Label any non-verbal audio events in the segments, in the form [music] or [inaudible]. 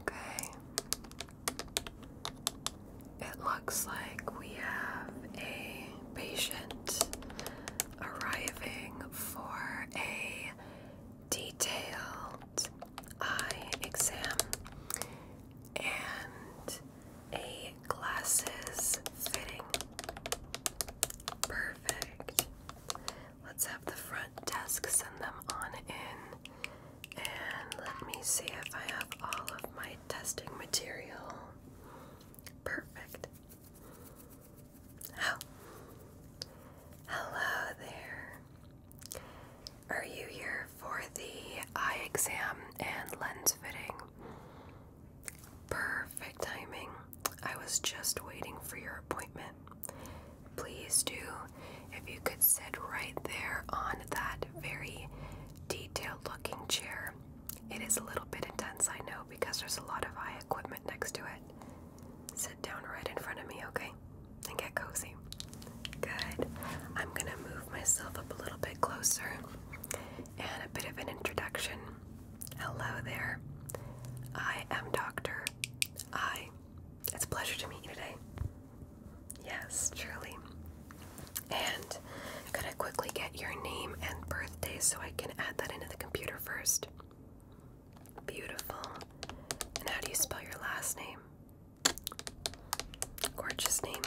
Okay. It looks like we have a patient arriving for a detailed eye exam and a glasses fitting. Perfect. Let's have the front desk send them on in. And let me see if I have all of my testing material. Perfect. Oh. Hello there. Are you here for the eye exam and lens fitting? Perfect timing. I was just waiting for your appointment. Please do, if you could sit right there on that very detailed looking chair. It is a little bit intense, I know, because there's a lot of eye equipment next to it. Sit down right in front of me, okay? And get cozy. Good. I'm gonna move myself up a little bit closer and a bit of an introduction. Hello there. I am Dr your It's a pleasure to meet you today. Yes, truly. And could I quickly get your name and birthday so I can add that into the computer first? Beautiful. And how do you spell your last name? Gorgeous name,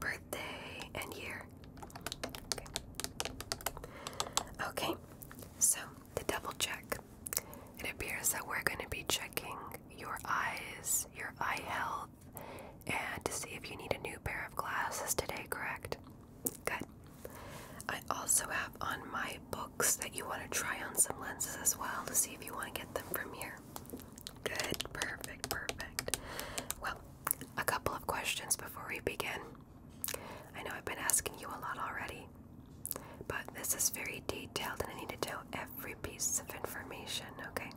birthday, and year. Okay, so to double check. It appears that we're going to be checking your eyes, your eye health, and to see if you need a new pair of glasses today, correct? Good. I also have on my books that you want to try on some lenses as well to see if you want to get them from here. Good, perfect, perfect. Well, a couple of questions before we begin. I know I've been asking you a lot already, but this is very detailed and I need to know every piece of information, okay?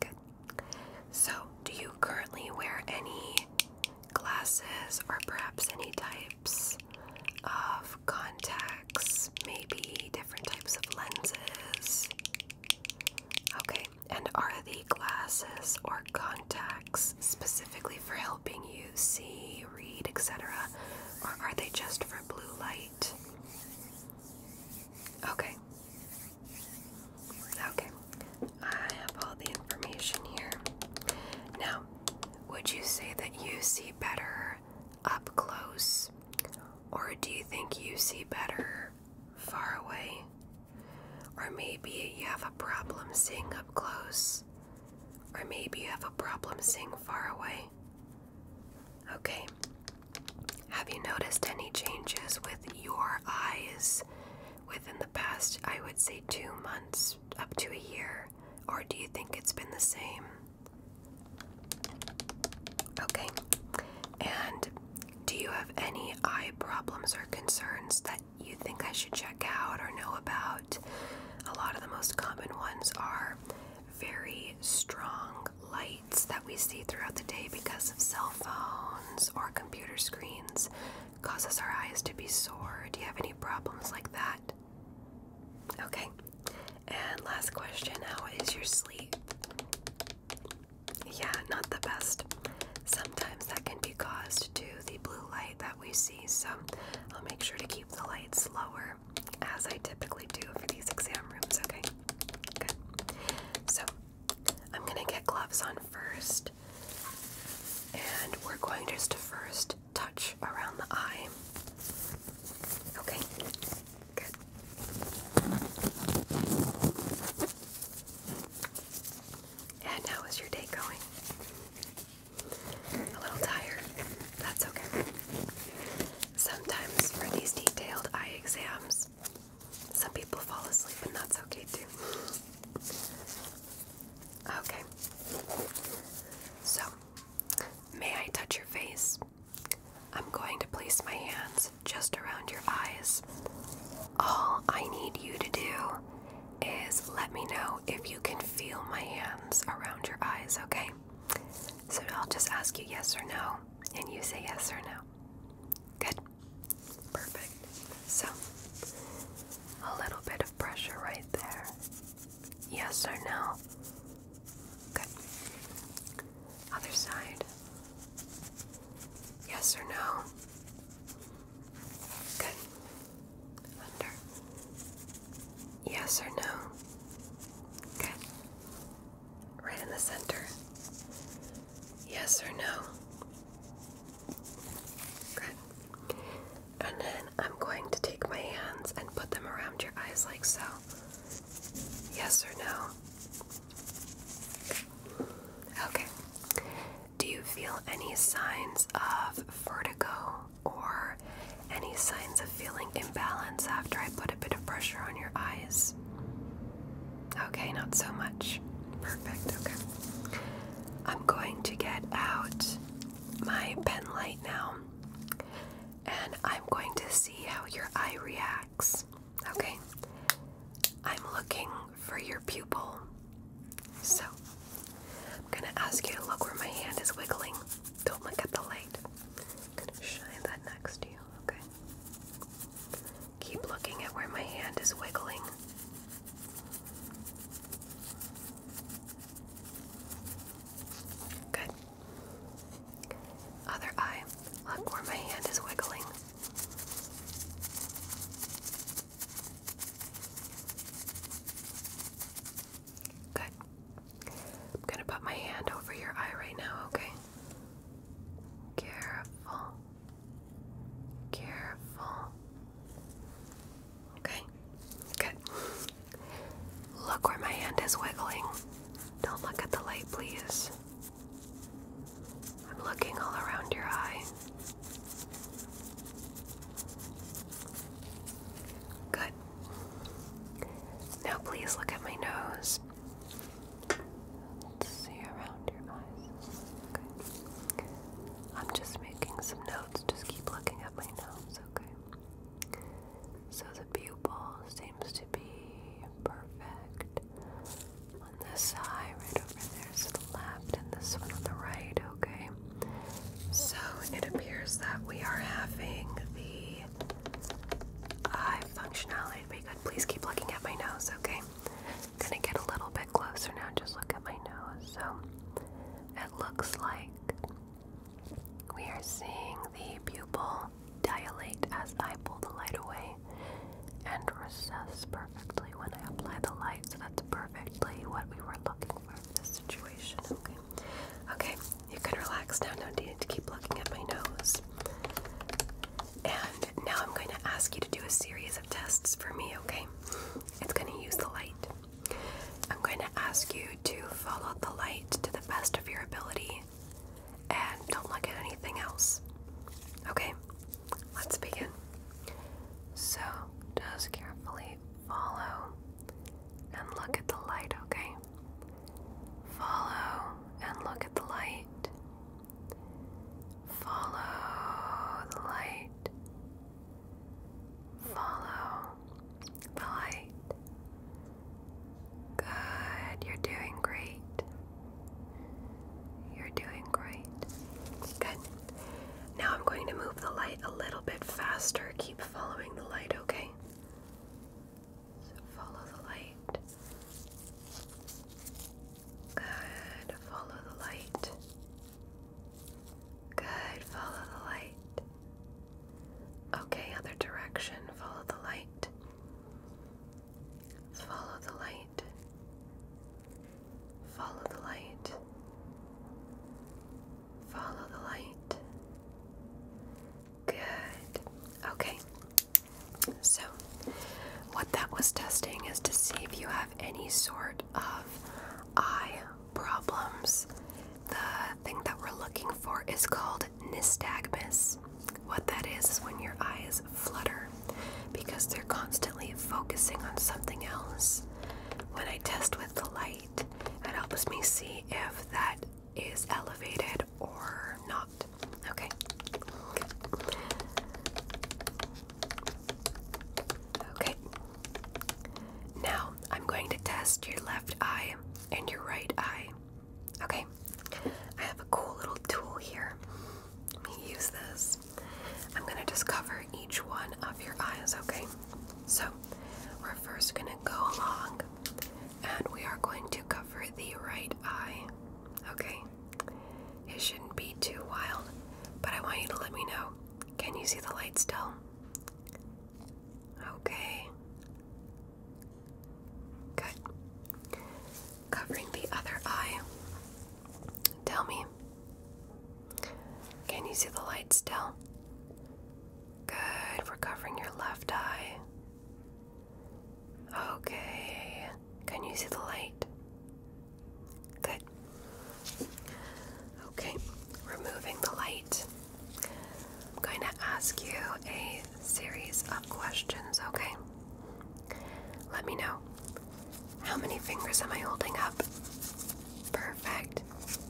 Good. So, do you currently wear any glasses or perhaps any types of contacts, maybe different types of lenses? Okay, and are the glasses or contacts? specifically for helping you see, read, etc., or are they just for blue light? Okay. Okay. I have all the information here. Now, would you say that you see better up close, or do you think you see better far away? Or maybe you have a problem seeing up close or maybe you have a problem seeing far away. Okay. Have you noticed any changes with your eyes within the past, I would say, two months up to a year? Or do you think it's been the same? Okay. And do you have any eye problems or concerns that you think I should check out or know about. A lot of the most common ones are very strong lights that we see throughout the day because of cell phones or computer screens causes our eyes to be sore. Do you have any problems like that? Okay. And last question, how is your sleep? Yeah, not the best. Sometimes that can be caused to the blue light that we see, so I'll make sure to keep the lights lower as I typically do for these exam rooms, okay? Good. So I'm gonna get gloves on first, and we're going just to first touch around the eye. Okay, good. And how is your day going? a little tired. That's okay. Sometimes for these detailed eye exams, some people fall asleep, and that's okay too. Okay. So, may I touch your face? I'm going to place my hands just around your eyes. All I need you to do is let me know if you can feel my hands around your eyes, okay? So I'll just ask you yes or no, and you say yes or no. Good. Perfect. So, a little bit of pressure right there. Yes or no? Good. Other side. Yes or no? Good. Under. Yes or no? Okay. Right in the center. Yes or no? Good. And then I'm going to take my hands and put them around your eyes like so. Yes or no? Okay. Do you feel any signs of vertigo or any signs of feeling imbalance after I put a bit of pressure on your eyes? Okay, not so much. Perfect, okay. I'm going to get out my pen light now and I'm going to see how your eye reacts. Okay? I'm looking for your pupil. So I'm gonna ask you to look where my hand is wiggling. Don't look at the light. I'm gonna shine that next to you, okay? Keep looking at where my hand is wiggling. Good. Other eye, look where my hand is wiggling. Good. I'm gonna put my hand over your eye right now, okay? Careful. Careful. Okay. Good. Look where my hand is wiggling. Don't look at the light, please. I'm looking all around your eye. Good. Now, please look at my nose. see around your eyes. I'm just making some notes. Just keep looking at my nose, okay? So the pupil seems to be perfect. On this eye, right over there is the this one on the right, okay? So it appears that we are having the eye functionality be good. Please keep looking at my nose, okay? I'm gonna get a little bit closer now. Just look at my nose. So it looks like we are seeing the pupil dilate as I pull the light away and recess perfectly when I apply the light. So that's perfectly what we were looking for in this situation, okay? Okay, you can relax now. No need to keep looking at my nose. And now I'm going to ask you to do a series of tests for me, okay? It's going to use the light. I'm going to ask you to follow the light to the best of your ability and don't look at anything else. Okay, let's begin. So, just carefully follow and look at the light, okay? Follow and look at the light. Follow the light. Follow the light. Good. You're doing great. You're doing great. Good. Now I'm going to move the light a little bit faster. Keep following the light, okay? follow the light. Good, follow the light. Good, follow the light. Okay, other direction, follow the light. Follow the light. Follow the light. Follow the light. Good. Okay. So, what that was testing is to see if you have any sort of eye problems. The thing that we're looking for is called nystagmus. What that is is when your eyes flutter because they're constantly focusing on something else. When I test with the light, light that helps me see if that is elevated or not. Okay. Okay. Now I'm going to test your left eye and your right eye. Okay. I have a cool little tool here. Let me use this. I'm going to just cover each one of your eyes, okay? So we're first going to go along and we are going to cover the right eye. Okay? It shouldn't be too wild, but I want you to let me know. Can you see the light still? Okay. Good. Covering the other eye. Tell me. Can you see the light still? Good for covering your left eye. Okay. Can you see the light? Good. Okay, removing the light. I'm going to ask you a series of questions, okay? Let me know. How many fingers am I holding up? Perfect.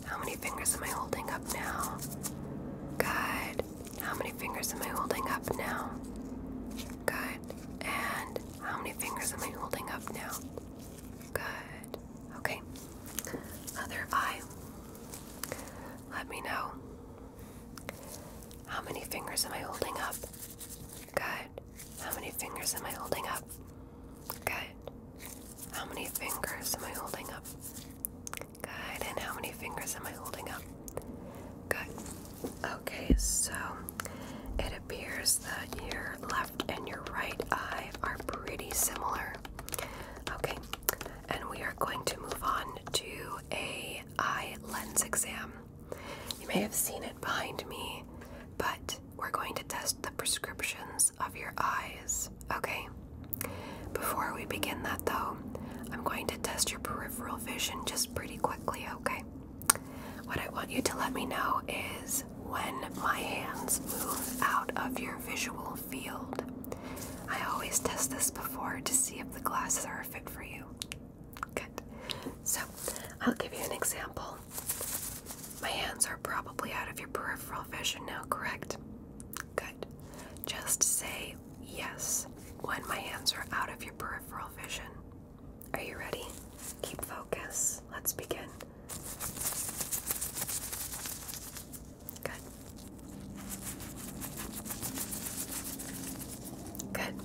How many fingers am I holding up now? Good. How many fingers am I holding up now? Good. And how many fingers am I holding up now? Good. Okay. Other eye. Let me know. How many fingers am I holding up? Good. How many fingers am I holding up? Good. How many fingers am I holding up? Good. And how many fingers am I holding up? Good. Okay, so it appears that your left and your right eye are pretty similar. Okay, and we are going to move on to a eye lens exam. You may have seen it behind me, but we're going to test the prescriptions of your eyes. Okay. Before we begin that though, I'm going to test your peripheral vision just pretty quickly, okay? What I want you to let me know is when my hands move out of your visual field. I always test this before to see if the glasses are a fit for you. Good. So, I'll give you an example. My hands are probably out of your peripheral vision now, correct? Good. Just say yes when my hands are out of your peripheral vision. Are you ready? Keep focus. Let's begin. Good. Good. Good.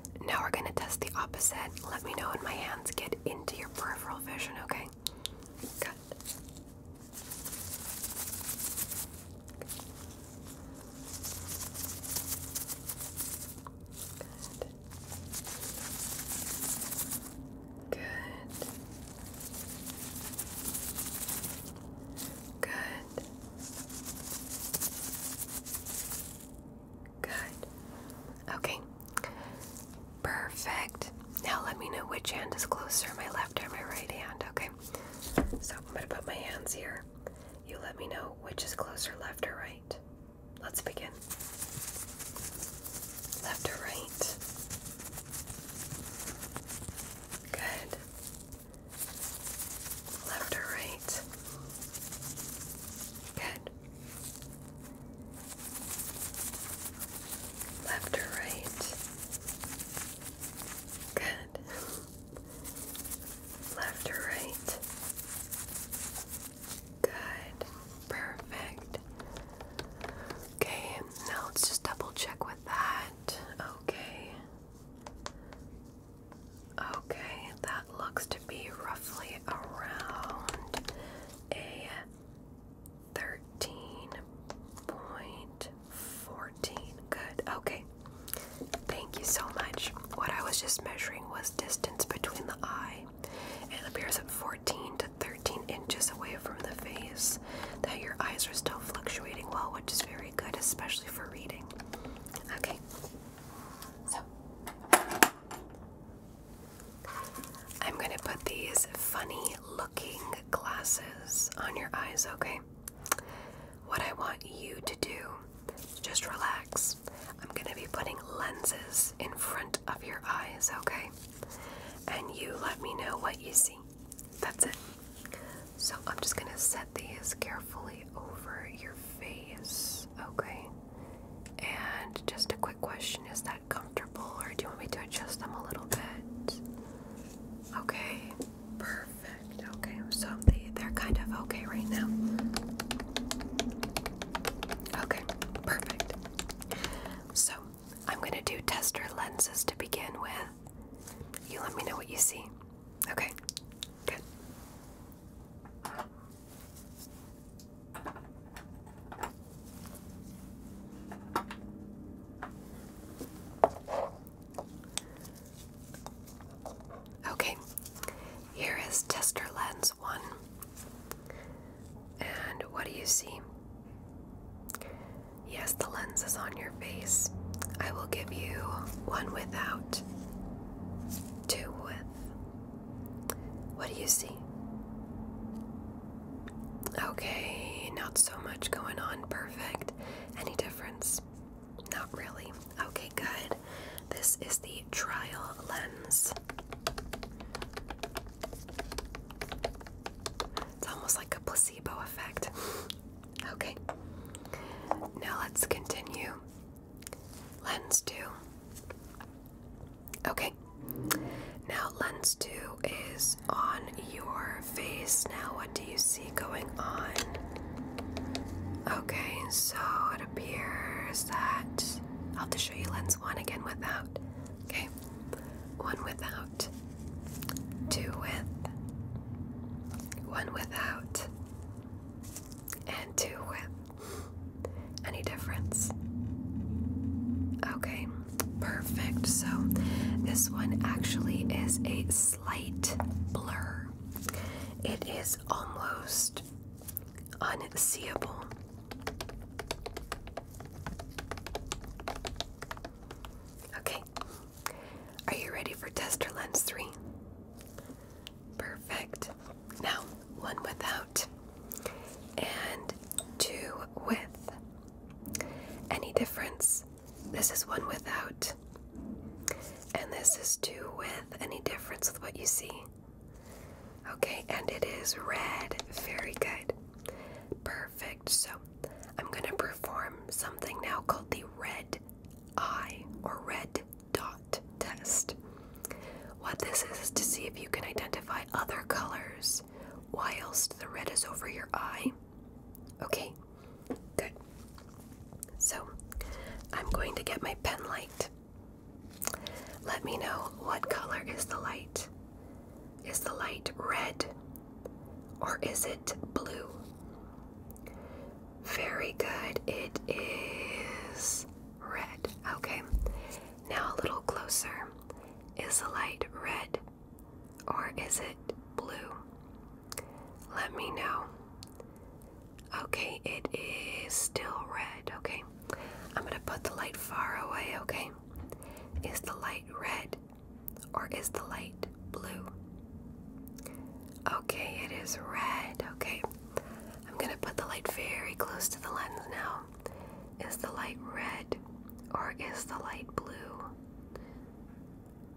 Now we're going to test the opposite. Let me know when my hands get into your peripheral vision, okay? Good. Good. Good. Good. Okay. Perfect. Now let me know which hand is closer, my left or my right hand, okay? So I'm going to put my hands here. You let me know which is closer, left or right. Let's begin. Left or right? Good. Left or right? Good. Left or right? Good. Left or right? Good. Perfect. Okay, now let's just double check with that. Okay. Okay, that looks be roughly around a 13.14. Good. Okay. Thank you so much. What I was just measuring was distance between the eye. It appears at 14 to 13 inches away from the face that your eyes are still fluctuating well, which is very good, especially for reading. Okay. So I'm going to put these funny looking glasses on your eyes, okay? What I want you to do just relax. I'm going to be putting lenses in front of your eyes, okay? And you let me know what you see. That's it. So I'm just going to set these carefully over your face, okay? And just a quick question is that comfortable or do you want me to adjust them a little bit? Okay, perfect. Okay, so they, they're kind of okay right now. Okay, perfect. So I'm going to do tester lenses to begin with. You let me know what you see. Okay, good. Okay, here is tester lens one. And what do you see? Yes, the lens is on your face. I will give you one without, two with, what do you see? Okay, not so much going on. Perfect. Any difference? Not really. Okay, good. This is the trial lens. It's almost like a placebo effect. [laughs] okay. Now let's continue Lens 2. Okay. Now, lens 2 is on your face. Now, what do you see going on? Okay, so it appears that I'll have to show you lens 1 again without. Okay. 1 without. 2 with. 1 without. And 2 with. Any difference? Okay, perfect. So this one actually is a slight blur. It is almost unseeable. Okay, are you ready for tester lens three? Perfect. Now, one without, and two with. Any difference? This is one without, and this is two with. Any difference with what you see? Okay, and it is red. Very good. Perfect. So I'm going to perform something now called the red eye or red dot test. What this is to see if you can identify other colors whilst the red is over your eye. Okay, good. So I'm going to get my pen light. Let me know what color is the light. Is the light red or is it blue? Very good. It is red. Okay. Now, a little closer. Is the light red or is it blue? Let me know. Okay, it is still red. Okay, I'm going to put the light far away. Okay, is the light red or is the light blue? Okay, it is red. Okay, I'm going to put the light very close to the lens now. Is the light red or is the light blue?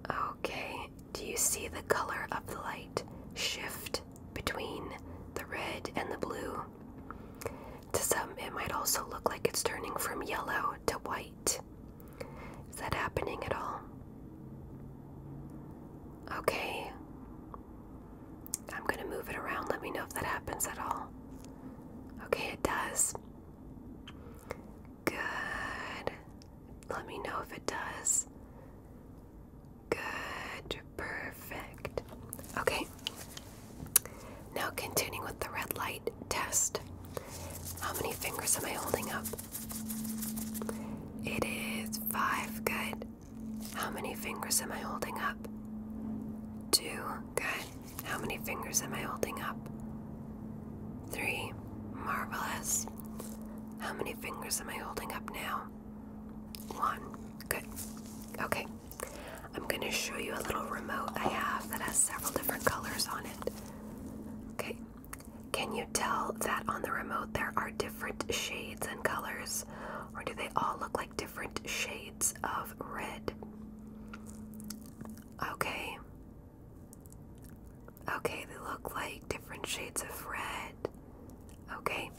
Okay, do you see the color of the light shift between the red and the blue? To some, it might also look like it's turning from yellow to white. Is that happening at all? Okay, I'm going to move it around. Let me know if that happens at all. Okay, it does. Good. Let me know if it does. Good. Perfect. Okay. Now, continuing with the red light test. How many fingers am I holding up? It is five. Good. How many fingers am I holding up? Two. Good. How many fingers am I holding up? Three. Marvelous. How many fingers am I holding up now? One. Good. Okay. I'm going to show you a little remote I have that has several different colors on it. Okay. Can you tell that on the remote there are different shades and colors? Or do they all look like different shades? shades of red. Okay. Okay, they look like different shades of red. Okay.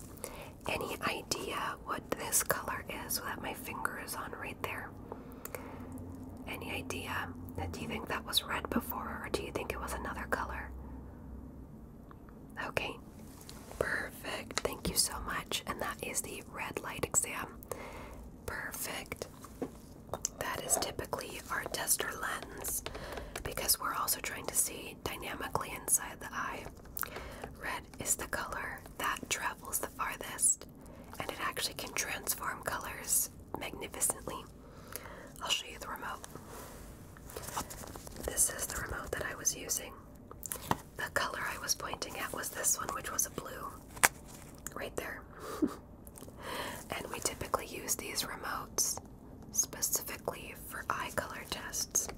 Any idea what this color is that my finger is on right there? Any idea? Do you think that was red before or do you think it was another color? Okay, Perfect. Thank you so much. And that is the red light exam. Perfect. That is typically our tester lens because we're also trying to see dynamically inside the eye. Red is the color that travels the farthest and it actually can transform colors magnificently. I'll show you the remote. This is the remote that I was using. The color I was pointing at was this one, which was a blue. Right there. [laughs] and we typically use these remotes specifically for eye color tests.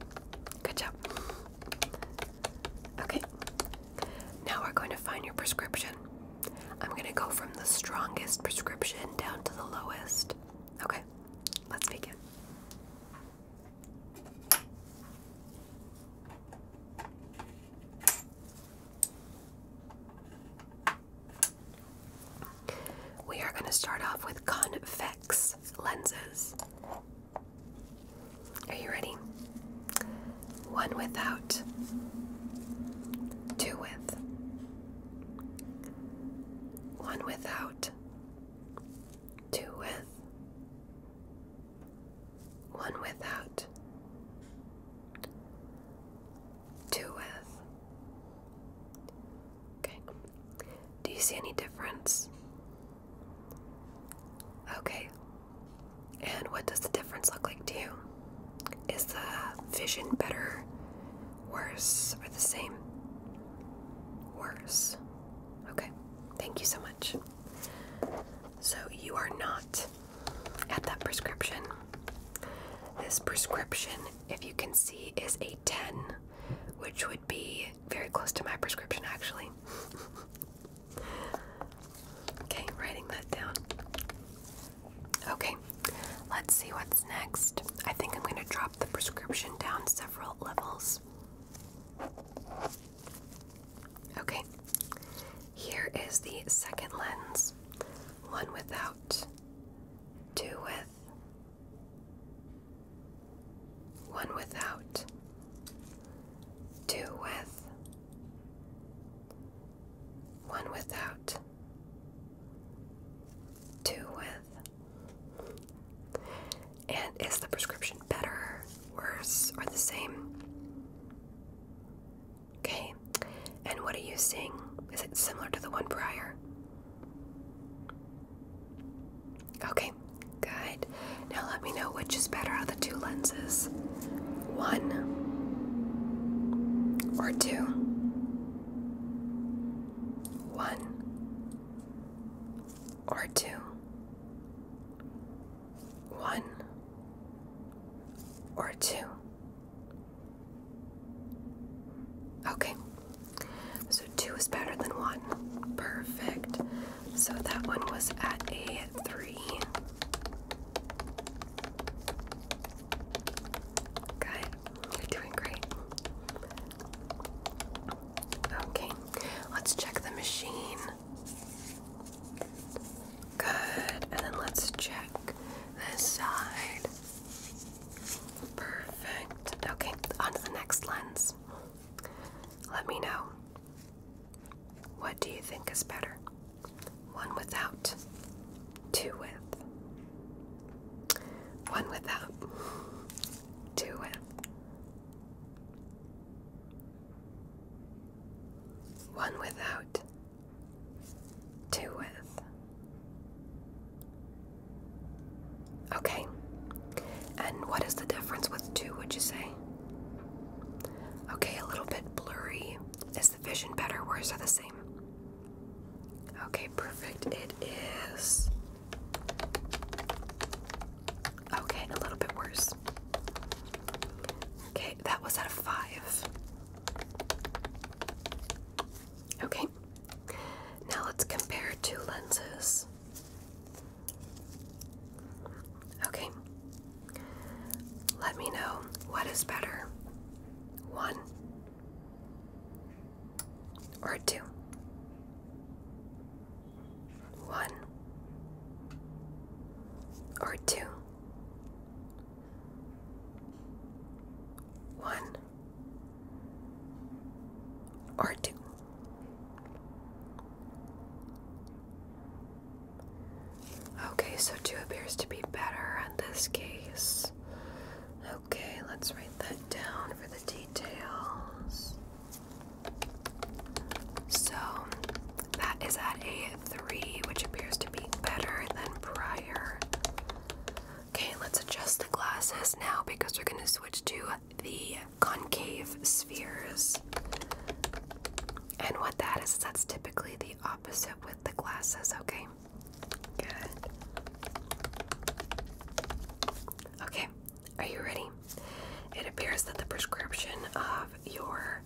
Good job. Okay, now we're going to find your prescription. I'm going to go from the strongest prescription down to the lowest. Okay, let's begin. We are going to start off with convex lenses. Are you ready? One without, two with, one without, two with, one without, two with. Okay. Do you see any difference? Okay. And what does the difference look like to you? Is the vision better, worse, or the same? Worse. Okay. Thank you so much. So you are not at that prescription. This prescription, if you can see, is a 10, which would be very close to my prescription actually. [laughs] okay, writing that down. Okay, let's see what's next. I think I'm going to drop the prescription down several levels. Okay, here is the second lens one without, two with, one without, two with, one without, two with. And is the prescription better, worse, or the same? Okay. And what are you seeing? Is it similar to the one prior? Okay, good. Now let me know which is better of the two lenses one or two? One or two? one or two. Okay, so two is better than one. Perfect. So that one was at a three. Good. You're doing great. Okay, let's check the machine. Good. And then let's check this side. Perfect. Okay, on the next lens. Let me know. What do you think is better? One without, two with. One without, two with. One without, two with. Okay. And what is the difference with two, would you say? Okay, a little bit blurry. Is the vision better? Worse or the same? Okay, perfect. It is Okay, a little bit worse. Okay, that was out of five. Okay, now let's compare two lenses. Okay, let me know what is better one or two one or two, one or two. Okay, so two appears to be better in this case. Okay, let's write that down for the details. So that is at a 3, which appears to be better than prior. Okay, let's adjust the glasses now because we're going to switch to the concave spheres. And what that is, that's typically the opposite with the glasses, okay? Good. Okay, are you ready? It appears that the prescription of your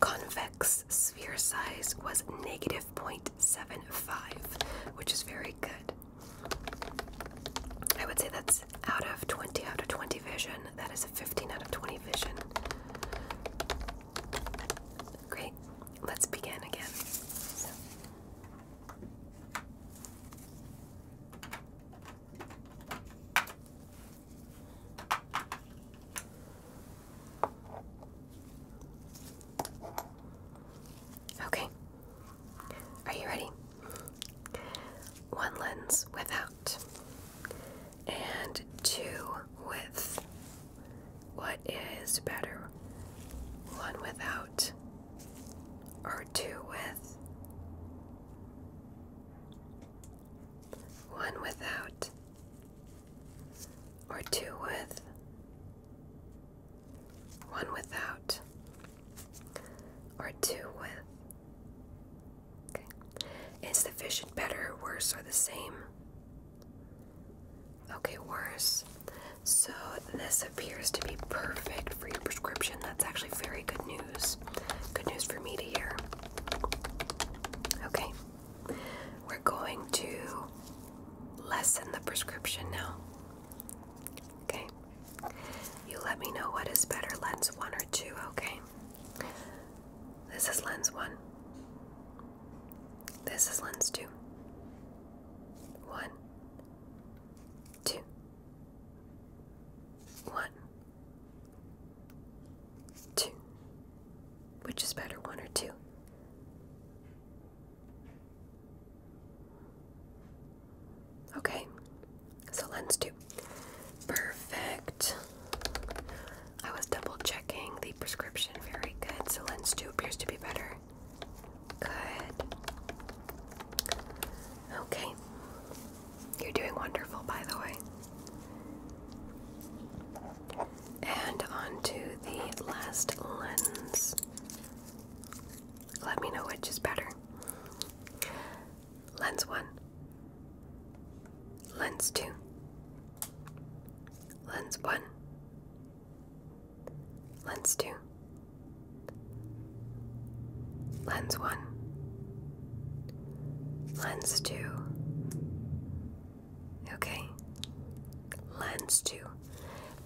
convex sphere size was negative 0.75, which is very good. I would say that's out of 20 out of 20 vision. That is a 15 out of 20 vision. Great. Let's begin again. Okay. Are you ready? One lens without, and two with. What is better? One without, or two with? one without, or two with, one without, or two with. Okay. Is the vision better, worse, or the same? Okay, worse. So this appears to be perfect for your prescription that's actually very good news. Good news for me to hear. Okay, we're going to lessen the prescription now. Okay, you let me know what is better, lens one or two, okay? This is lens one. This is lens two. One, two, one. Two. Which is better, one or two? Okay, so lens two. Perfect. I was double checking the prescription. Very good. So lens two appears to be better. Good. Okay. You're doing wonderful, by the way. And on to the last lens. Let me know which is better. Lens 1, Lens 2, Lens 1, Lens 2, Lens 1, Lens 2. Okay. Lens 2.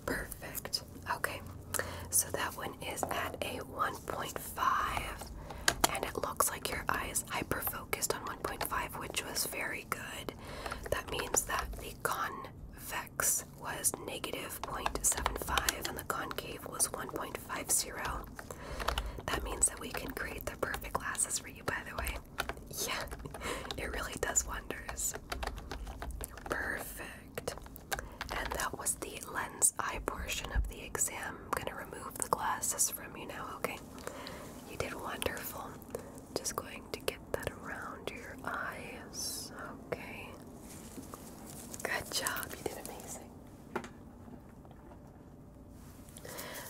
Perfect. Okay. So that one is at a 1.5 and it looks like your eye is hyper focused on 1.5 which was very good. That means that the convex was negative 0.75 and the concave was 1.50. That means that we can create the perfect glasses for you, by the way. Yeah, [laughs] it really does wonders. Perfect. And that was the lens eye portion of the exam. I'm gonna remove the glasses from you now, okay? You did wonderful. Just going to get that around your eyes. Okay. Good job. You did amazing.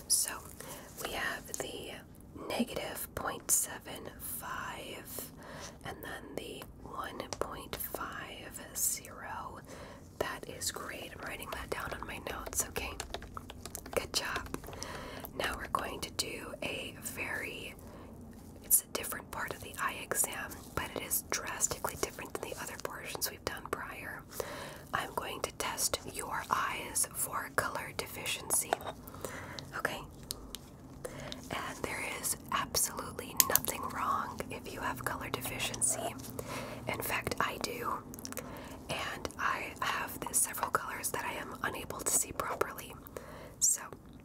So we have the negative 0.75 and then the 1.50. That is great. I'm writing that down on my notes, okay? Good job. Now we're going to do a very, it's a different part of the eye exam, but it is drastically different than the other portions we've done prior. I'm going to test your eyes for color deficiency. Okay? And there is absolutely nothing wrong if you have color deficiency. In fact, I do. And I have several colors that I am unable to see properly. So,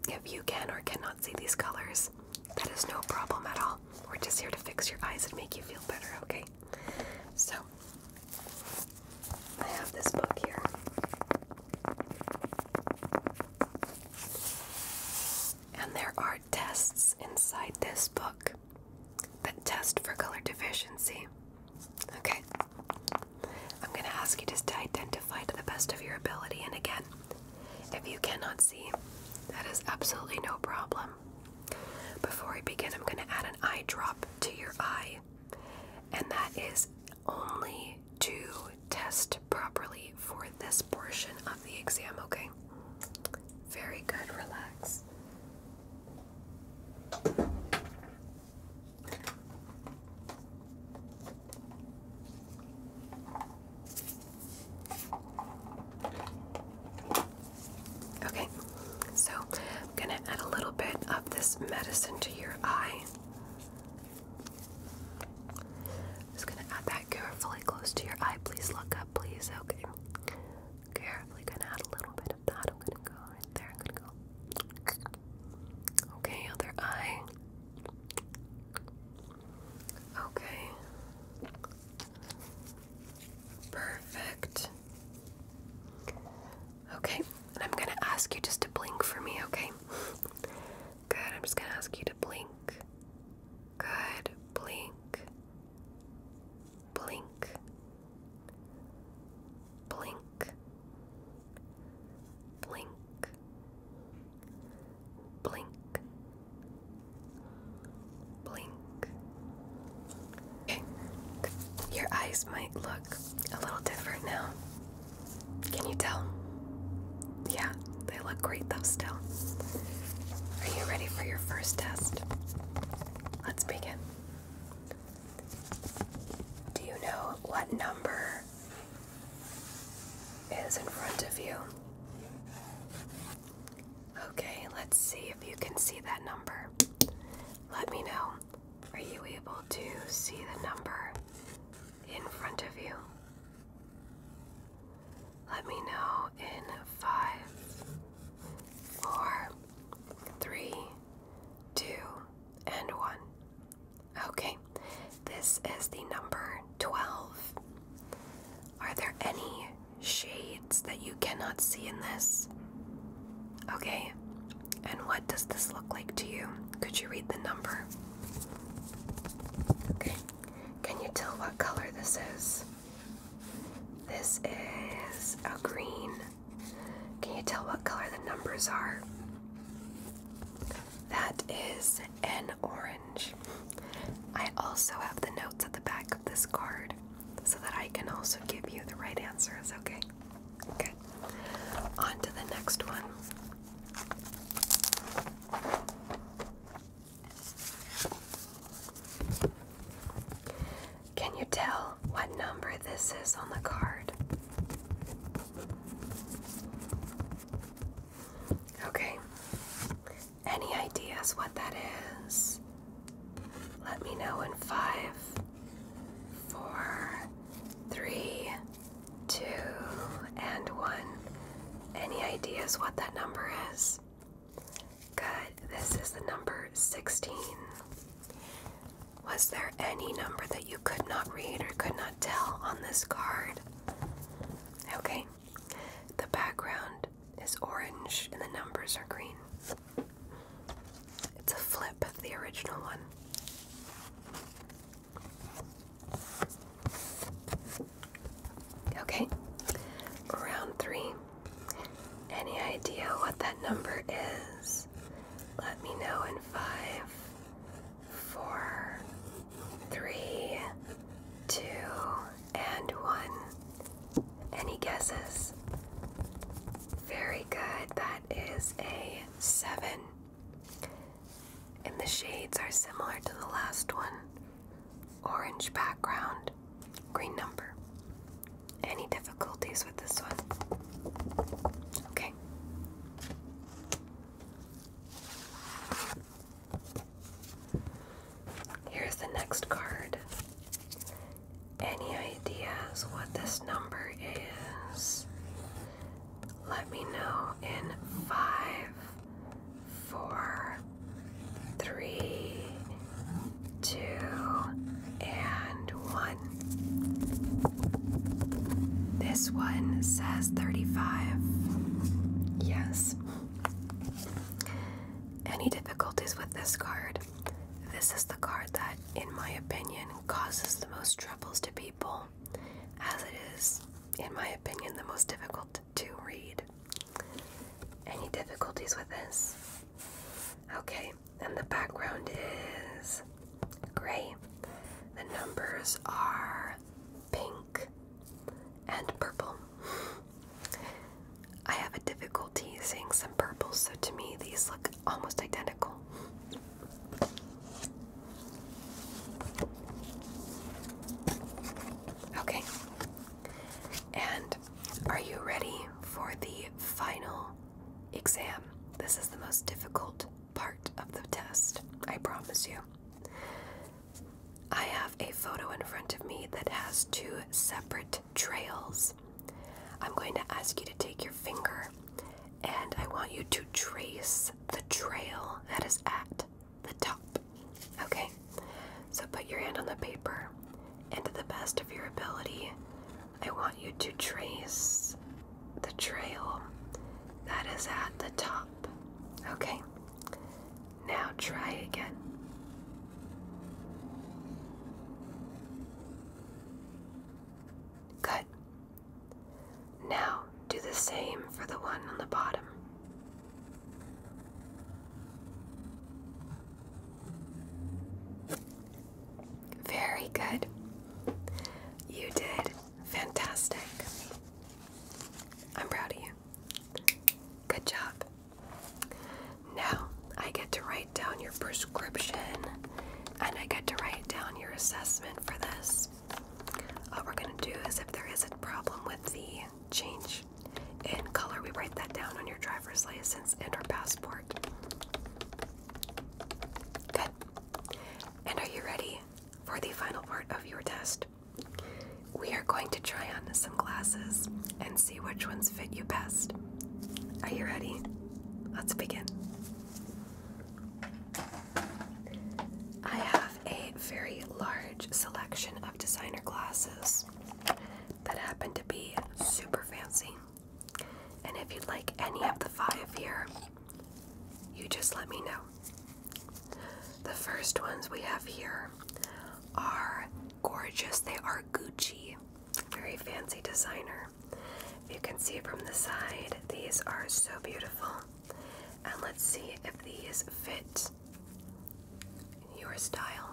if you can or cannot see these colors, that is no problem at all. We're just here to fix your eyes and make you feel better, okay? So, I have this book here. And there are tests inside this book that test for color deficiency. Okay. I'm going to ask you just to identify to the best of your ability. And again, if you cannot see, that is absolutely no problem. Before I begin, I'm going to add an eye drop to your eye, and that is only to test properly for this portion of the exam, okay? Very good, relax. Okay, so I'm gonna add a little bit of this medicine to your eye. just gonna add that carefully close to your eye. Please look up, please. Okay. Carefully gonna add a little bit of that. I'm gonna go right there. I'm gonna go. Okay, other eye. Okay. Perfect. Okay, I'm gonna ask you just to blink for me, okay? Good, I'm just gonna ask you to blink. Good, blink. Blink. Blink. Blink. Blink. Blink. Okay. Your eyes might look a little different now. Can you tell? Yeah, they look great though, still. Are you ready for your first test? Let's begin. Do you know what number is in front of you? Okay, let's see if you can see that number. Let me know. Are you able to see the number in front of you? Let me know in five, four, three, two, and one. Okay, this is the number 12. Are there any shades that you cannot see in this. Okay, and what does this look like to you? Could you read the number? Okay, can you tell what color this is? This is a green. Can you tell what color the numbers are? That is an orange. I also have the notes at the back of this card so that I can also give you the right answers, okay? Okay. On to the next one. Can you tell what number this is on the card? Okay. Any ideas what that is? Let me know in five, four, three, two, and one. Any ideas what that number is? Good. This is the number 16. Was there any number that you could not read or could not tell on this card? Okay. The background is orange and the numbers are green. It's a flip of the original one. Okay, round three. Any idea what that number is? Let me know in five, four, three, two, and one. Any guesses? Very good. That is a seven. And the shades are similar to the last one orange background, green number. Any difficulties with this one? Okay. Here's the next card. Any ideas what this number is? Let me know in five, four, three, two, and one. This one says 35. Yes. Any difficulties with this card? This is the card that, in my opinion, causes the most troubles to people, as it is, in my opinion, the most difficult to read. Any difficulties with this? Okay, and the background is gray. The numbers are pink and purple. I have a difficulty seeing some purples, so to me these look almost identical. Okay. And are you ready for the final exam? This is the most difficult part of the test, I promise you. I have a photo in front of me that has two separate trails. I'm going to ask you to take your finger and I want you to trace the trail that is at the top. Okay? So put your hand on the paper and to the best of your ability, I want you to trace the trail that is at the top. Okay? Now try again. Good. Now do the same for the one on the bottom. Very good. You did fantastic. I'm proud of you. Good job. Now, I get to write down your prescription and I get to write down your assessment for this. All we're going to do is if there is a problem with the change in color, we write that down on your driver's license and our passport. Good. And are you ready for the final part of your test? We are going to try on some glasses and see which ones fit you best. Are you ready? Let's begin. I have a very large selection of designer glasses that happen to be super fancy. And if you'd like any of the five here, you just let me know. The first ones we have here are gorgeous. They are Gucci. Very fancy designer. you can see from the side, these are so beautiful. And let's see if these fit your style.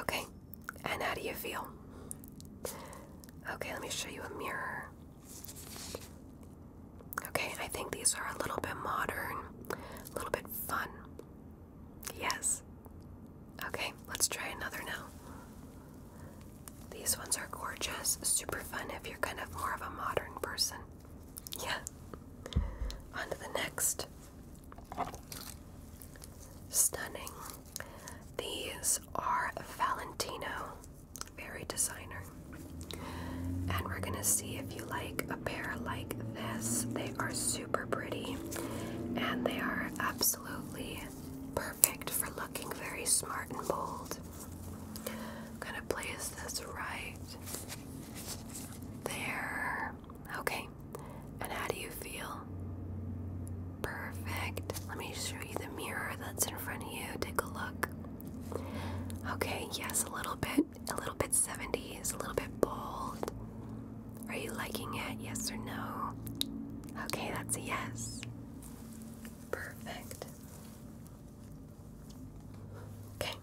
Okay, and how do you feel? Okay, let me show you a mirror. Okay, I think these are a little bit modern, a little bit fun. Yes. Okay, let's try another now. These ones are gorgeous, super fun if you're kind of more of a modern person. Yeah. On to the next. Stunning. These are Valentino very designer. And we're gonna see if you like a pair like this. They are super pretty and they are absolutely perfect for looking very smart and bold. gonna place this right there. Okay, and how do you feel? Perfect. Let me show you the mirror that's in front of you. Take a look. Okay, yes, a little bit a little bit 70s, a little bit bold. Are you liking it? Yes or no? Okay, that's a yes. Perfect. Okay.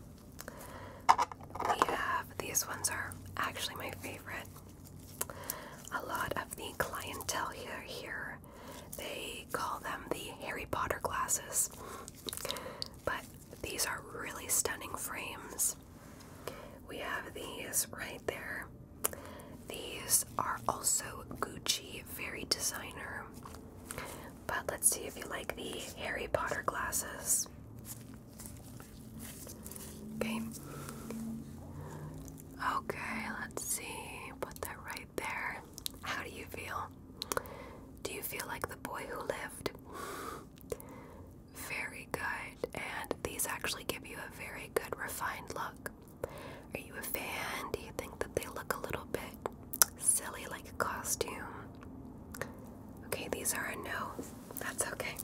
We have these ones are actually my favorite. A lot of the clientele here here they call them the Harry Potter glasses. But these are really stunning frames. We have these right there. These are also Gucci Fairy Designer. But let's see if you like the Harry Potter glasses. Okay. Okay, let's see. Put that right there. How do you feel? Do you feel like the boy who lived? Very good. And these actually give you a very good refined look. Are you a fan? Do you think that they look a little bit silly like a costume? Okay, these are a no. That's okay.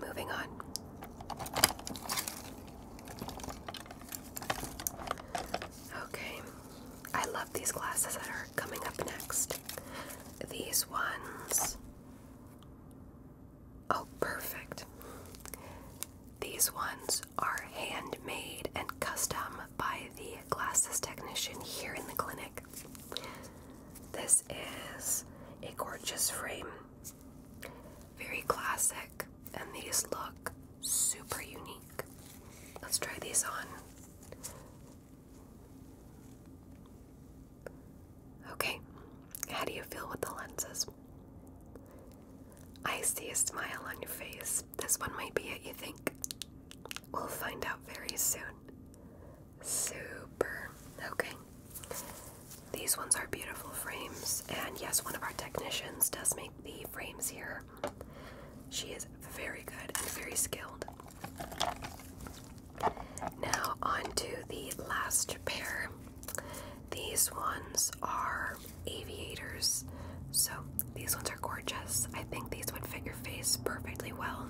Moving on. Okay, I love these glasses that are coming up next. These ones. Oh, perfect. These ones are handmade and custom by the glasses technician here in the clinic. This is a gorgeous frame, very classic, and these look super unique. Let's try these on. Okay, how do you feel with the lenses? I see a smile on your face. This one might be it, you think? We'll find out very soon. Super. Okay. These ones are beautiful frames, and yes, one of our technicians does make the frames here she is very good and very skilled. Now, on to the last pair. These ones are aviators. So, these ones are gorgeous. I think these would fit your face perfectly well,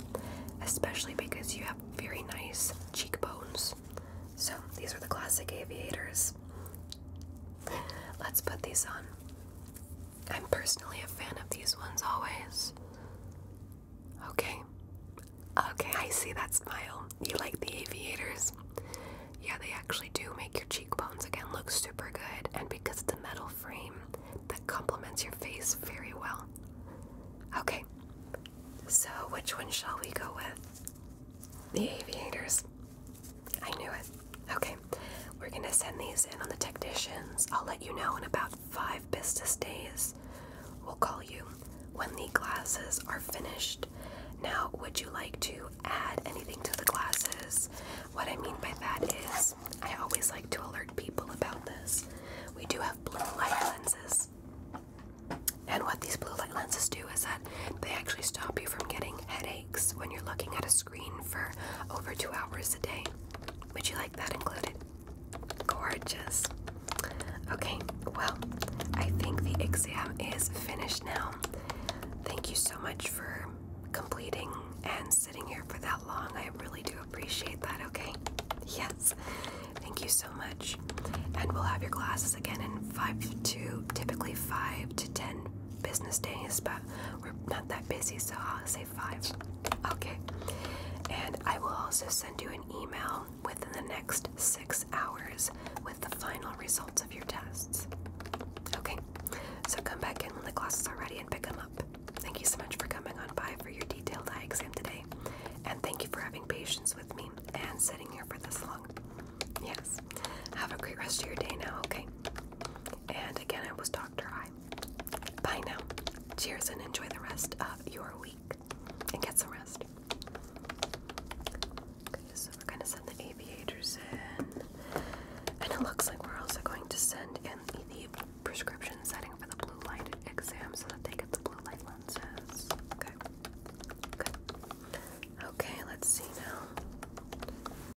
especially because you have very nice cheekbones. So, these are the classic aviators. Let's put these on. I'm personally a fan of these ones always. Okay. Okay, I see that smile. You like the aviators? Yeah, they actually do make your cheekbones again look super good, and because of the metal frame, that complements your face very well. Okay, so which one shall we go with? The aviators. I knew it. Okay, we're gonna send these in on the technicians. I'll let you know in about five business days. We'll call you when the glasses are finished. Now, would you like to add anything to the glasses? What I mean by that is, I always like to alert people about this. We do have blue light lenses. And what these blue light lenses do is that they actually stop you from getting headaches when you're looking at a screen for over two hours a day. Would you like that included? Gorgeous. Okay, well, I think the exam is finished now. Thank you so much for completing and sitting here for that long. I really do appreciate that, okay? Yes. Thank you so much. And we'll have your classes again in 5 to typically 5 to 10 business days, but we're not that busy, so I'll say five. Okay. And I will also send you an email within the next six hours with the final results of your tests. Okay. So come back in when the glasses are ready and pick them up. Thank you so much for coming on by for your detailed eye exam today. And thank you for having patience with me and sitting here for this long. Yes. Have a great rest of your day now, okay? And again, I was Dr. I. Bye now. Cheers and enjoy the rest of your week and get some rest. Okay, so we're going to send the aviators in. And it looks like we're also going to send in the prescription setting for the blue light exam so that they get the blue light lenses. Okay. Okay, let's see now.